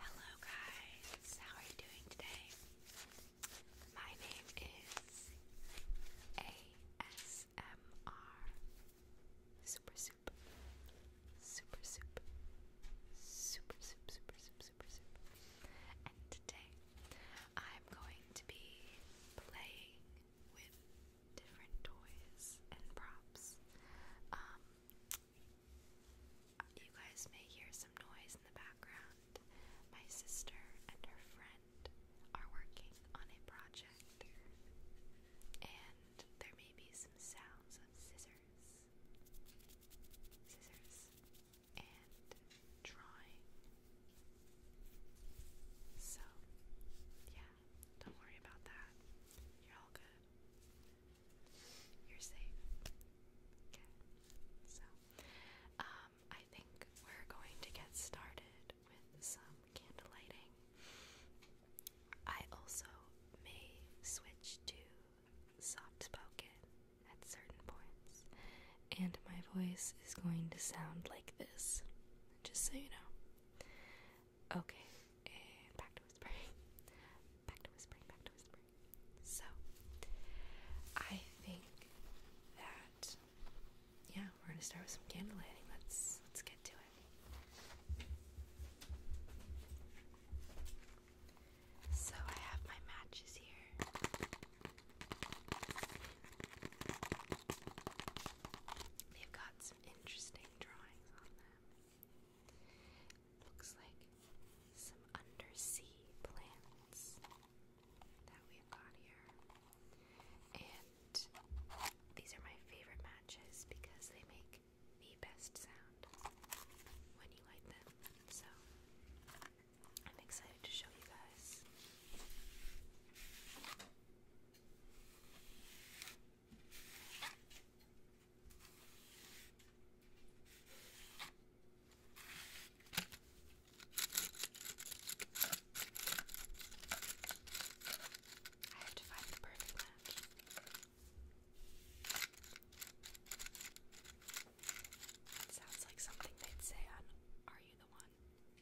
Hello guys, how are you doing today? My name is ASMR Super Soup Super Soup Super Soup Super Soup Super Soup and today I'm going to be playing with different toys and props. Um, you guys may hear some noise in the background. My sister and her friend are working on a project, and there may be some sounds of scissors, scissors, and drawing. So, yeah, don't worry about that. You're all good. You're safe. Okay. So, um, I think we're going to get started with some candle lighting. I also may switch to soft spoken at certain points, and my voice is going to sound like this, just so you know. Okay, and back to whispering. Back to whispering, back to whispering. So, I think that yeah, we're gonna start with some candle lighting. Let's let's get to it. So I have my matches here. They've got interesting drawings on them. Looks like some undersea plants that we've got here. And these are my favorite matches because they make the best sound when you light them. So I'm excited to show you guys. I have to find the perfect match. sounds like something they'd say on Are You the One?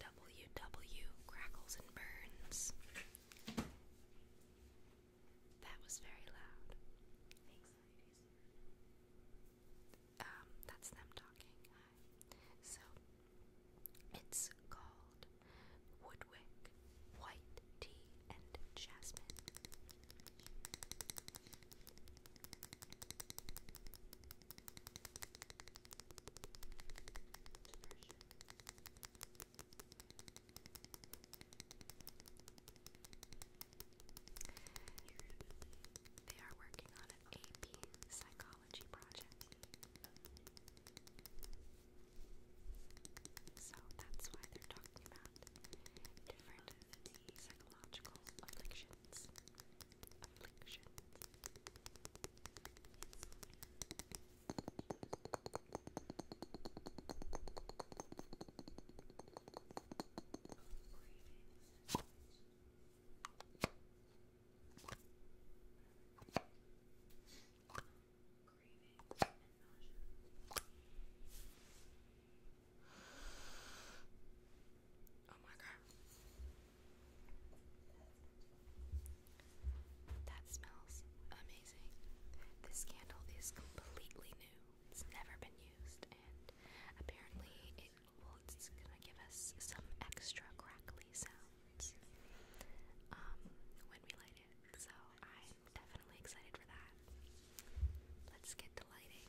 W W crackles and burns. That was very loud. Um, that's them talking. So, it's called Woodwick White Tea and Jasmine. They are working on an AP psychology project. So that's why they're talking about different psychological afflictions afflictions. Cravings and nausea. Oh my god. That smells amazing. This candle is completely new. It's never been used, and apparently it well, it's gonna give us some extra crackly sounds um, when we light it. So I'm definitely excited for that. Let's get to lighting.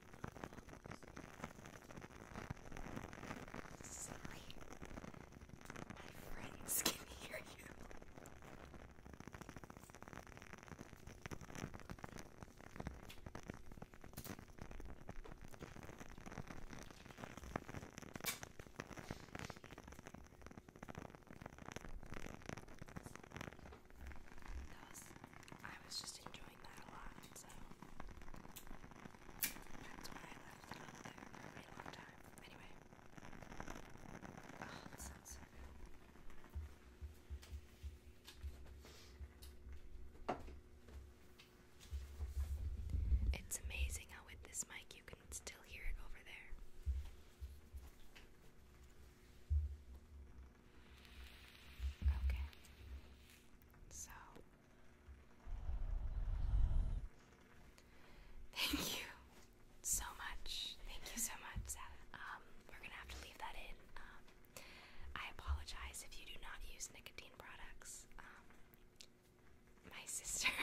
Sorry, my friends can hear you. That was I was just enjoying that a lot, so that's why I left it up there for a really long time. Anyway, oh, that sounds so good. It's amazing how, with this mic, you can still hear it over there. Okay. So. Thank you so much. Thank you so much, um, we're gonna have to leave that in. Um, I apologize if you do not use nicotine products. Um, my sister.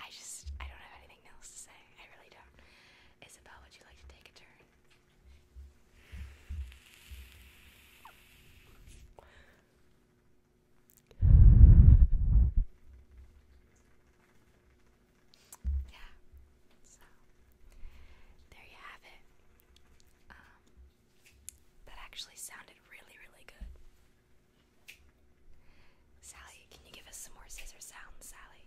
I just I don't have anything else to say. I really don't. Isabel, would you like to take a turn? Yeah, so there you have it. Um, that actually sounded really, really good. Sally, can you give us some more scissor sounds, Sally?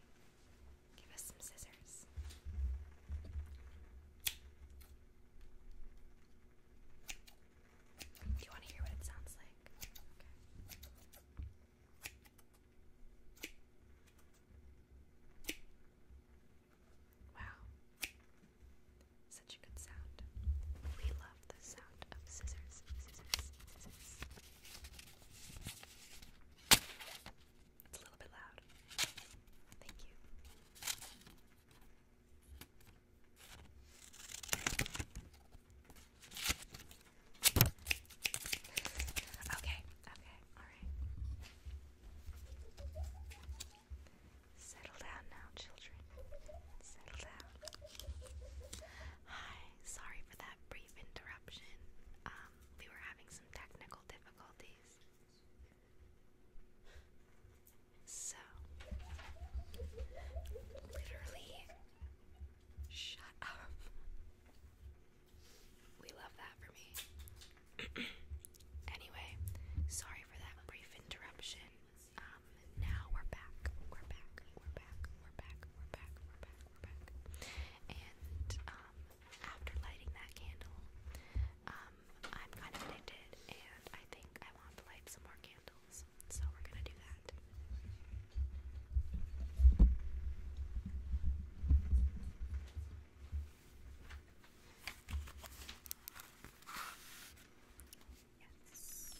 Give us some scissors. Do you want to hear what it sounds like? Wow. Such a good sound. We love the sound of scissors. It's a little bit loud. Thank you. Okay, okay, alright. Settle down now, children. Settle down. Hi, sorry for that brief interruption. Um, we were having technical difficulties. So, literally, shut up. We love that for me. anyway, sorry for that brief interruption. Um, now we're back. We're back. We're back. We're back. We're back. We're back. We're back. And um, after lighting that candle, um, I'm kind of addicted, and I think I want to light some more candles, so we're gonna do that. Yes.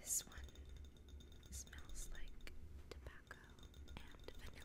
This one smells like tobacco and vanilla.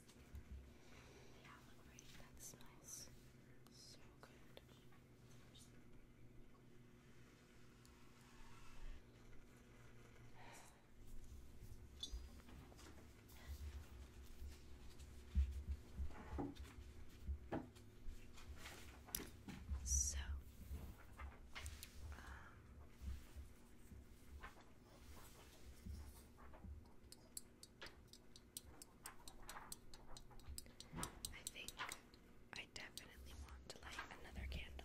Yeah, look right. That smells so good. So, um, I think I definitely want to light another candle.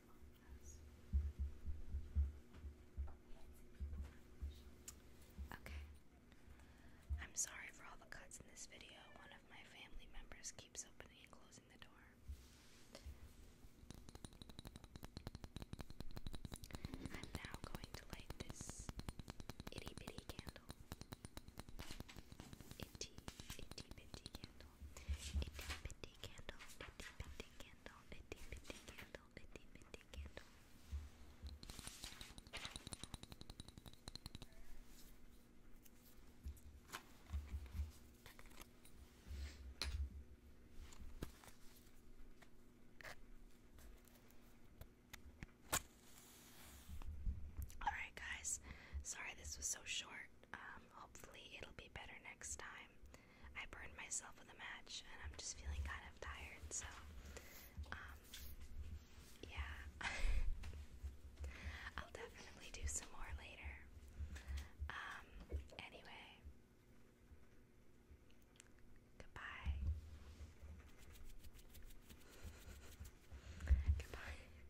Okay. I'm sorry for all the cuts in this video. One of my family members keeps opening and closing the door. I'm now going to light this itty bitty candle. Itty, itty bitty candle candle, itty bitty candle, itty bitty candle, itty bitty candle, itty bitty candle. All right, guys. Sorry this was so short. Um, hopefully it'll be better next time. I burned myself with a match and I'm just feeling kind of tired, so um, yeah. I'll definitely do some more later. Um, anyway. Goodbye. Goodbye.